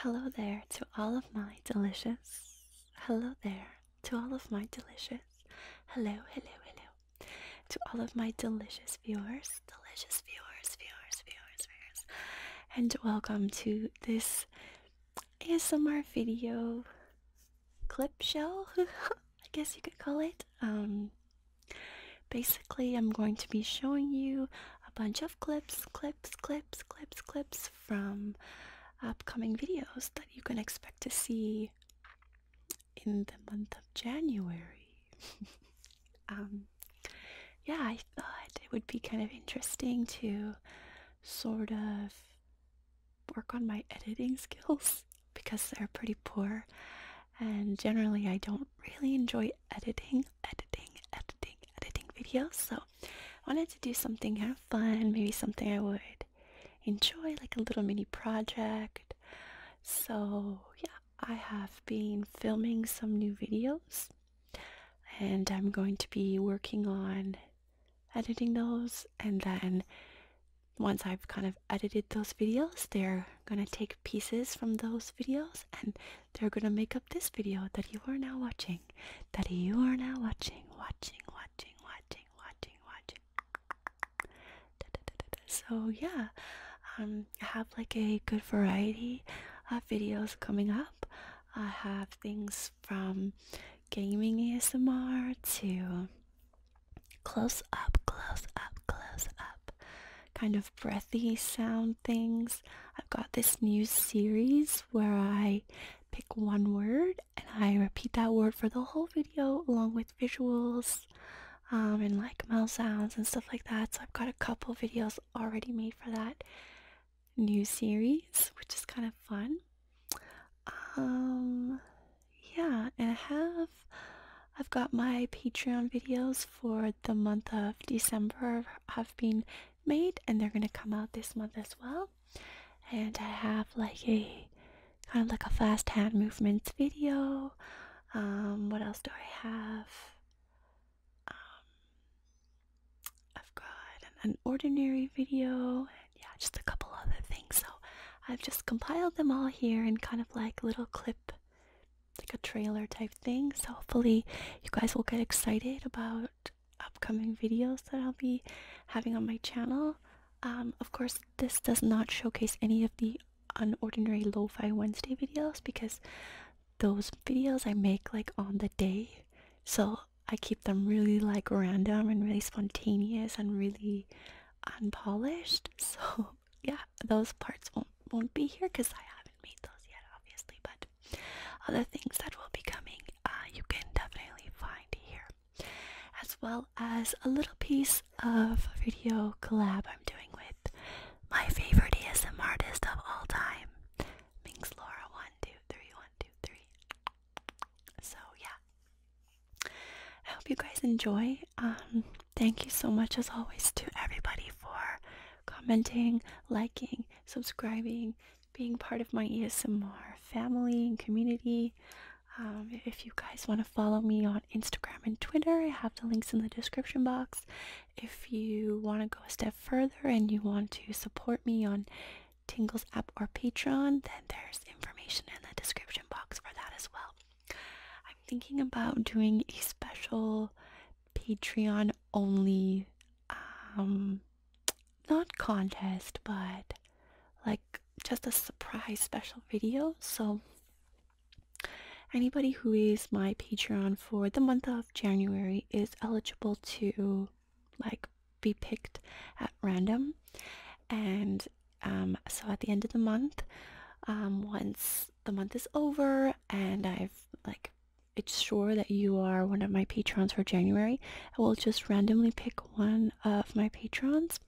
Hello there to all of my delicious. Hello there to all of my delicious. Hello, hello, hello to all of my delicious viewers, delicious viewers, viewers, viewers, viewers, and welcome to this ASMR video clip show, I guess you could call it. Um, basically, I'm going to be showing you a bunch of clips, clips, clips, clips, clips from upcoming videos that you can expect to see in the month of January. Um, yeah, I thought it would be kind of interesting to sort of work on my editing skills because they're pretty poor. And generally, I don't really enjoy editing, editing, editing, editing videos. So, I wanted to do something have fun, maybe something I would enjoy, like a little mini project. So, yeah, I have been filming some new videos and I'm going to be working on editing those. And then, once I've kind of edited those videos, they're going to take pieces from those videos and they're going to make up this video that you are now watching. That you are now watching, watching, watching, watching, watching, watching. So yeah, um, I have like a good variety of videos coming up. I have things from gaming ASMR to close up, close up, close up, kind of breathy sound things. I've got this new series where I pick one word and I repeat that word for the whole video along with visuals um, and like mel sounds and stuff like that. So I've got a couple videos already made for that new series, which is kind of fun. Um, yeah, and I have I've got my Patreon videos for the month of December have been made and they're gonna come out this month as well. And I have like a kind of like a fast hand movements video. Um, what else do I have? Um, I've got an, ordinary video, yeah, just a couple other things. So I've just compiled them all here in kind of like little clip, like a trailer type thing. So hopefully you guys will get excited about upcoming videos that I'll be having on my channel. Um, of course, this does not showcase any of the on ordinary lo-fi Wednesday videos because those videos I make like on the day. So I keep them really like random and really spontaneous and really unpolished. So yeah, those parts won't won't be here because I haven't made those yet obviously, but other things that will be coming uh, you can definitely find here as well as a little piece of video collab I'm doing with my favorite ASM artist of all time, Minx Laura. One, two, three, one, two, three. So yeah, I hope you guys enjoy. Um, thank you so much as always to everybody for commenting, liking, subscribing, being part of my ASMR family and community. Um, if you guys want to follow me on Instagram and Twitter, I have the links in the description box. If you want to go a step further and you want to support me on Tingles app or Patreon, then there's information in the description box for that as well. I'm thinking about doing a special Patreon only, um, not contest, but like just a surprise special video. So, anybody who is my Patreon for the month of January is eligible to like be picked at random. And um, so at the end of the month, um, once the month is over and I've like it's sure that you are one of my patrons for January. I will just randomly pick one of my patrons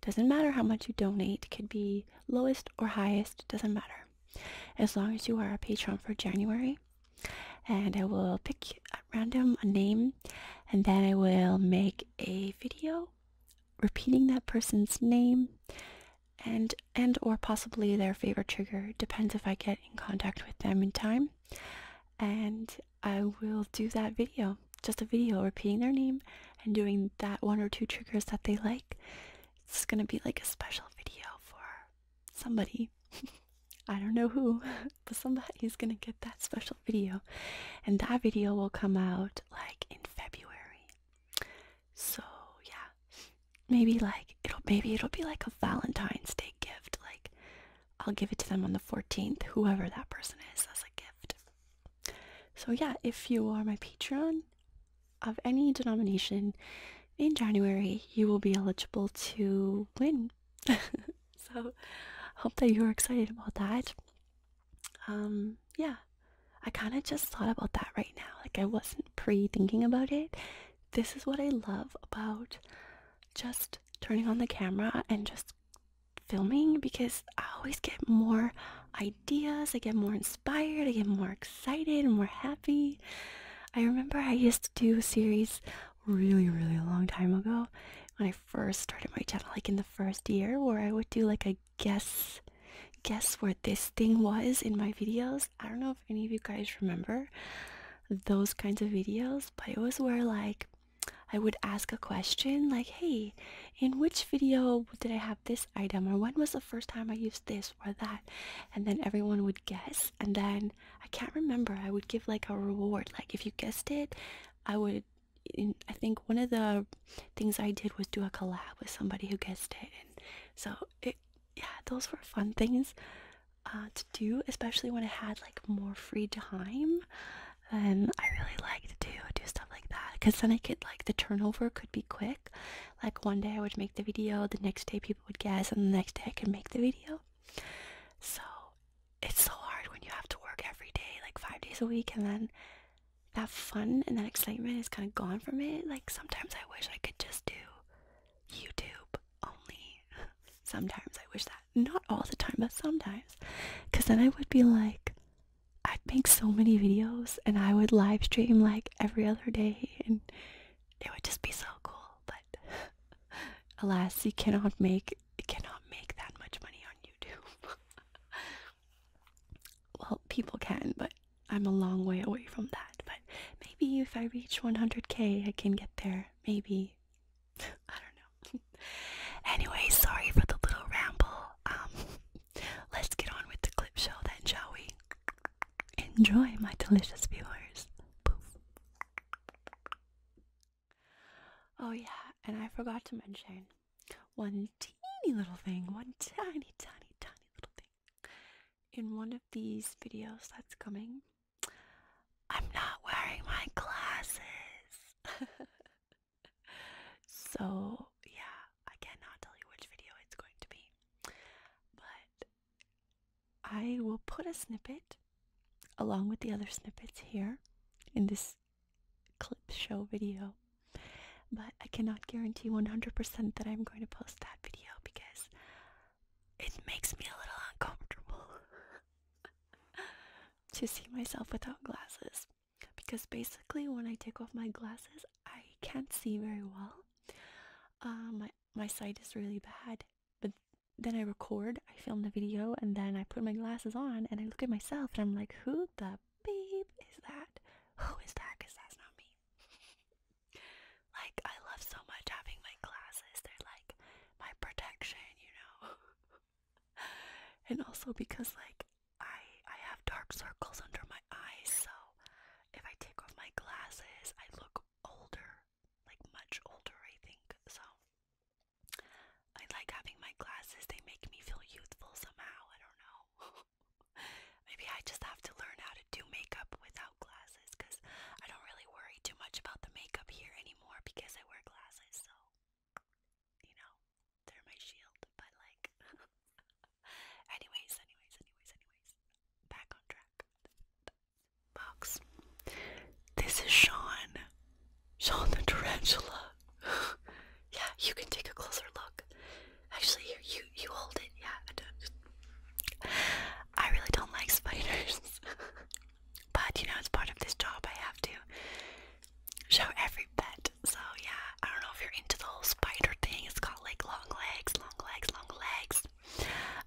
doesn't matter how much you donate, could be lowest or highest, doesn't matter. As long as you are a patron for January, and I will pick at random a name, and then I will make a video repeating that person's name and and or possibly their favorite trigger depends if i get in contact with them in time and i will do that video just a video repeating their name and doing that one or two triggers that they like. It's gonna be like a special video for somebody. I don't know who, but somebody's gonna get that special video. And that video will come out like in February. So yeah. Maybe like it'll maybe it'll be like a Valentine's Day gift. Like I'll give it to them on the 14th, whoever that person is as a gift. So, yeah, if you are my Patreon of any denomination in January, you will be eligible to win. so, hope that you're excited about that. Um, yeah, I kind of just thought about that right now. Like, I wasn't pre thinking about it. This is what I love about just turning on the camera and just filming because I always get more ideas, I get more inspired, I get more excited, more happy. I remember I used to do a series really, really long time ago when I first started my channel, like in the first year, where I would do like a guess guess where this thing was in my videos. I don't know if any of you guys remember those kinds of videos, but it was where like I would ask a question like, hey, in which video did I have this item or when was the first time I used this or that and then everyone would guess and then I can't remember I would give like a reward like if you guessed it I would I think one of the things I did was do a collab with somebody who guessed it and so it yeah those were fun things uh, to do especially when I had like more free time and um, I really liked to do, do stuff like that because then I could like the turnover could be quick. Like one day I would make the video, the next day people would guess, and the next day I could make the video. So it's so hard when you have to work every day, like five days a week, and then that fun and that excitement is kind of gone from it. Like sometimes I wish I could just do YouTube only. sometimes I wish that. Not all the time, but sometimes. Because then I would be like, I'd make so many videos and I would live stream like every other day and it would just be so cool. But alas, you cannot make cannot make that much money on YouTube. well, people can, but I'm a long way away from that. But maybe if I reach 100k, I can get there. Maybe. I don't know. anyway, sorry for the little ramble. Um, let's get on with the clip show then, shall we? Enjoy, my delicious viewers. Poof. Oh, yeah, and I forgot to mention one teeny little thing, one tiny, tiny, tiny little thing. In one of these videos that's coming, I'm not wearing my glasses. so yeah, I cannot tell you which video it's going to be, but I will put a snippet along with the other snippets here in this clip show video. But I cannot guarantee 100% that I'm going to post that video because it makes me a little uncomfortable to see myself without glasses because basically when I take off my glasses, I can't see very well. Uh, my my sight is really bad. But then I record, I film the video, and then I put my glasses on and I look at myself and I'm like, who the beep is that? Who is that? Because that's not me. like I love so much having my glasses. They're like my protection, you know. and also because like I I have dark circles under my eyes, so if I take off my glasses, I look older, like much older, I think. So I like having my glasses; they make me feel youthful somehow. I don't know. Maybe I just have to learn how to do makeup without glasses, cause I don't really worry too much about the makeup here anymore because I wear glasses. So you know, they're my shield, but like, anyways, anyways, anyways, anyways, back on track. Box. This is Sean. Sean the tarantula. yeah, you can take a closer look. Actually, here, you you hold it. Yeah, I don't. I really don't like spiders, but you know it's part of this job. I have to show every pet so yeah, I don't know if you're into the whole spider thing. It's got like long legs, long legs, long legs.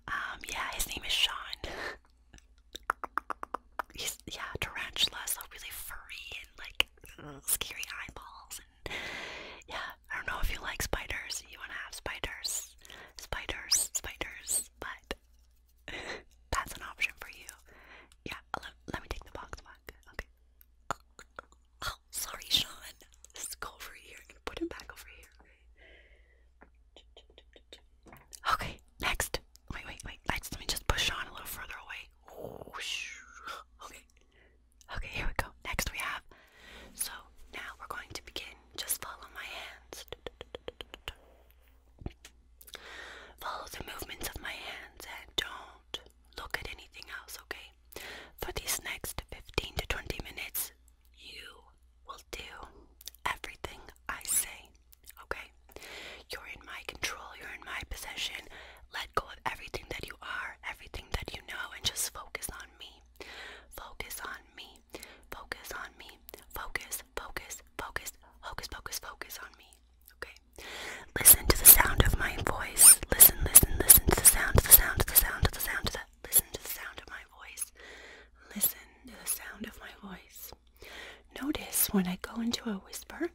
Um, yeah, his name is Sean. He's yeah, tarantula, so really furry and like scary eyeballs and yeah, I don't know if you like spiders. You wanna have spiders, spiders, spiders, but that's an option for you. Yeah, let, let me take the box back. Okay. Oh, sorry, Sean. Let's go over here put him back over here. Okay, next. Wait, wait, wait. Next, let me just push Sean a little further away. Okay. Okay, here we go. Next, we have. So now we're going to begin. Just follow my hands. Follow the movements of my hands and don't look at anything else, okay? For these next 15 to 20 minutes, you will do everything I say, okay? You're in my control, you're in my possession. Let go of everything that you are, everything that you know, and just focus on me. Focus on me. Focus on me. Focus, focus, focus, focus, focus, focus on me. Okay? Listen to the sound of my voice. Listen, listen, listen to the sound, the sound, the sound, the sound, the listen to the sound of my voice. Listen to the sound of my voice. Notice when I go into a whisper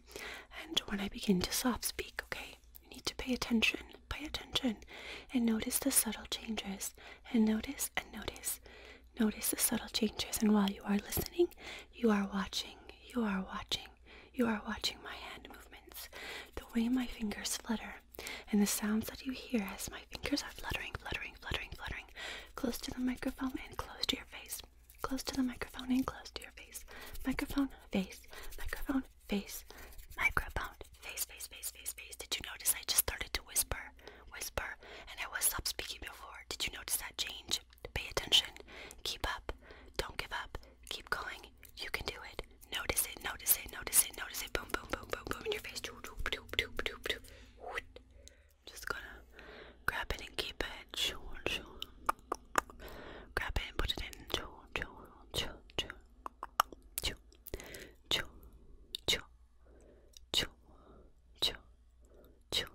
and when I begin to soft speak, okay? You need to pay attention, pay attention, and notice the subtle changes. And notice and notice. Notice the subtle changes. And while you are listening, you are watching, you are watching. You are watching my hand movements, the way my fingers flutter, and the sounds that you hear as my fingers are fluttering, fluttering, fluttering, fluttering, close to the microphone and close to your face, close to the microphone and close to your face, microphone, face, microphone, face, microphone, face, face, face, face, face. Did you notice I just started to whisper, whisper, and I was stop speaking before? Did you notice that change? Pay attention, keep up, don't give up. Keep going. You can do it. Notice it. Notice it. Notice it. Notice it. Boom, boom, boom, boom, boom in your face. Just gonna grab it and keep it. Grab it and put it in. Chew, chew, chew, chew, chew, chew.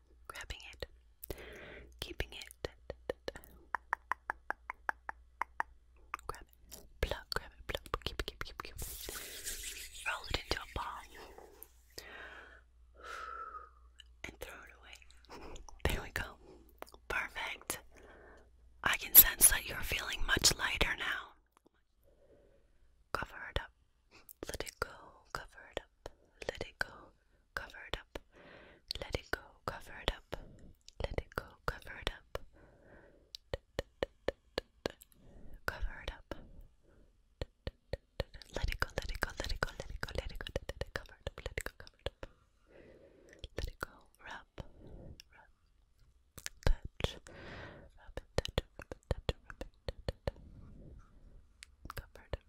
grabbing it, keeping it, grab it, pluck, grab it, pluck, keep, keep, keep, keep, roll it into a ball, and throw it away. There we go. Perfect. I can sense that you're feeling much lighter now. Cover it up. Let it go. Cover it up. Let it go cover it up, let it go, cover it up, let it go, cover it up, cover it up, let it go, let it go, let it go, let it go, let it go, let it go, cover it up, let it go, cover it up, let it go, rub, rub, touch, rub and touch, rub and touch, rub and touch, cover it up.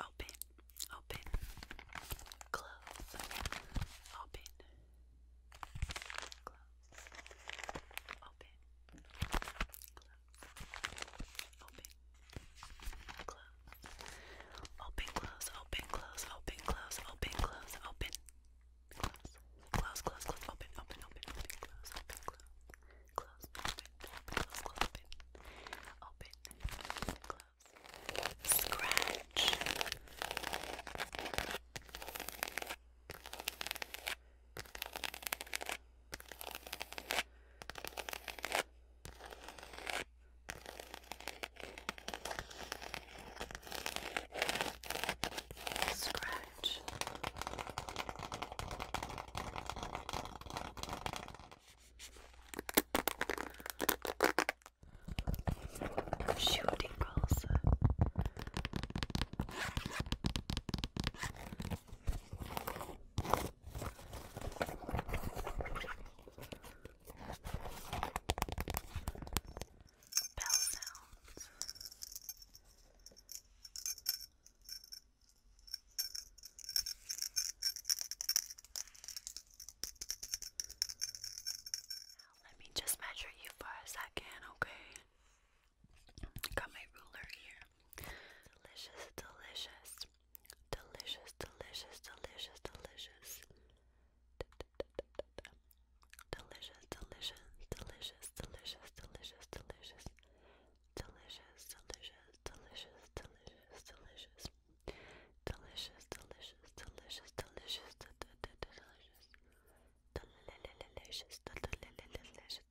Open, open, close, open, close, open, close, open, close, open, close, open, close, open, close, open, close, open, close, close, open, close, close, open, open, close, scratch. Scratch. Shooting girls. Bell sounds. Now let me just measure you for a second, okay? Got my ruler here. Delicious, delicious, delicious, delicious, delicious, delicious. D -d -d -d -d -d delicious, delicious, delicious, delicious, delicious, delicious. Delicious, delicious, delicious, delicious, delicious. Delicious, delicious, delicious, delicious, delicious. Delicious, delicious, delicious, delicious. Delicious, delicious,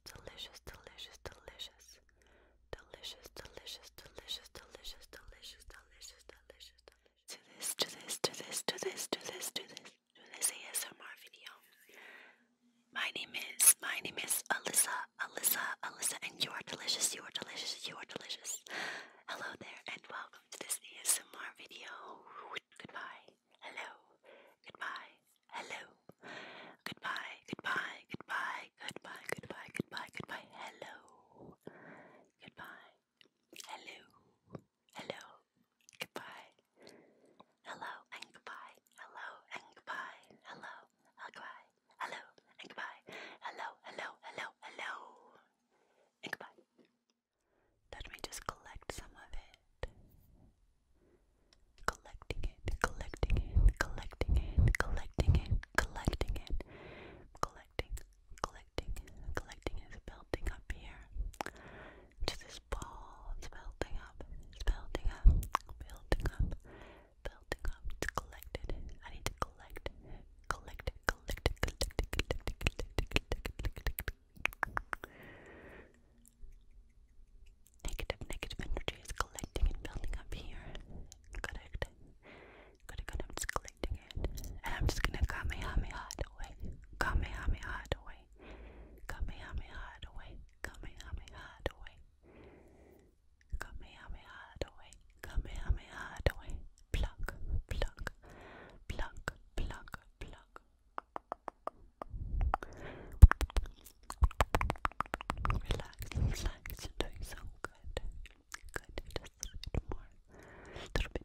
delicious, delicious, delicious. Delicious, delicious, delicious, delicious, delicious, delicious, delicious, delicious do this, do this, do this, do this, do this, do this, do this ASMR video. My name is, my name is Alyssa, Alyssa, Alyssa, and you are delicious, you are delicious, you are delicious. Hello there, and welcome to this ASMR video. Goodbye, hello, goodbye, hello, goodbye, goodbye, goodbye, goodbye, goodbye, goodbye, goodbye, hello, goodbye, hello. Hello, goodbye. Hello and goodbye. Hello and goodbye. Hello, goodbye. Hello and goodbye. Hello, hello, hello, hello, and goodbye. Let me just collect some of it. Collecting it, collecting it, collecting it, collecting it, collecting it, collecting, collecting, collecting is building up here. Just this ball, building up, building up, building up, building up. It's collected. I need to collect, collect, collect, collect, collect, collect, collect. Negative, negative energy is collecting and building up here. Correct. Correct. i selecting it. And I'm just gonna Kamehameha it away. Kamehameha it away. Kamehameha it away. Kamehameha it away. Kamehameha it away. Kamehameha it away. Pluck, pluck, pluck, pluck, pluck. Relax, relax, you're doing so good. Good, just a little bit more. A little bit,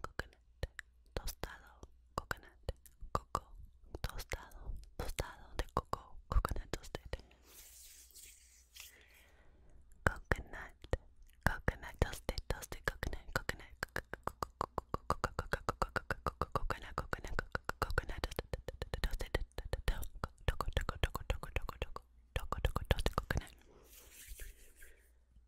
coconut, tostado, coconut, coco, tostado, tostado de coco, coconut toasted. Coconut, coconut toasted, toasted coconut, coconut, coconut, coconut, coconut toasted, toasted, toasted coconut.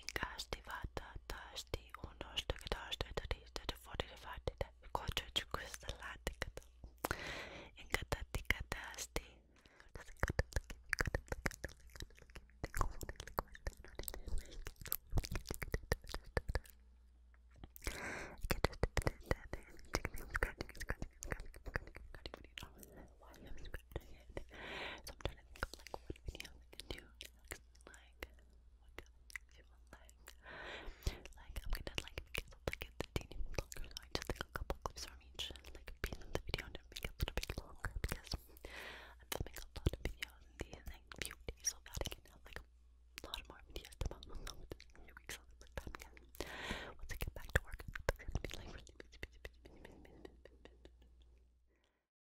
Incasti vata tasti unosta katasta tadista fortifatita quattro crystallicato. Incatati catasti. So I'm trying to think of like what video I can like, what color you will like. Like, I'm gonna like make it like it's a teeny bit longer, so I just take a couple clips from each like piece the video and make it a little bit because I'm filming a lot of videos in like few days, so I can have like a lot more videos to follow Once I get back to work, it's gonna be like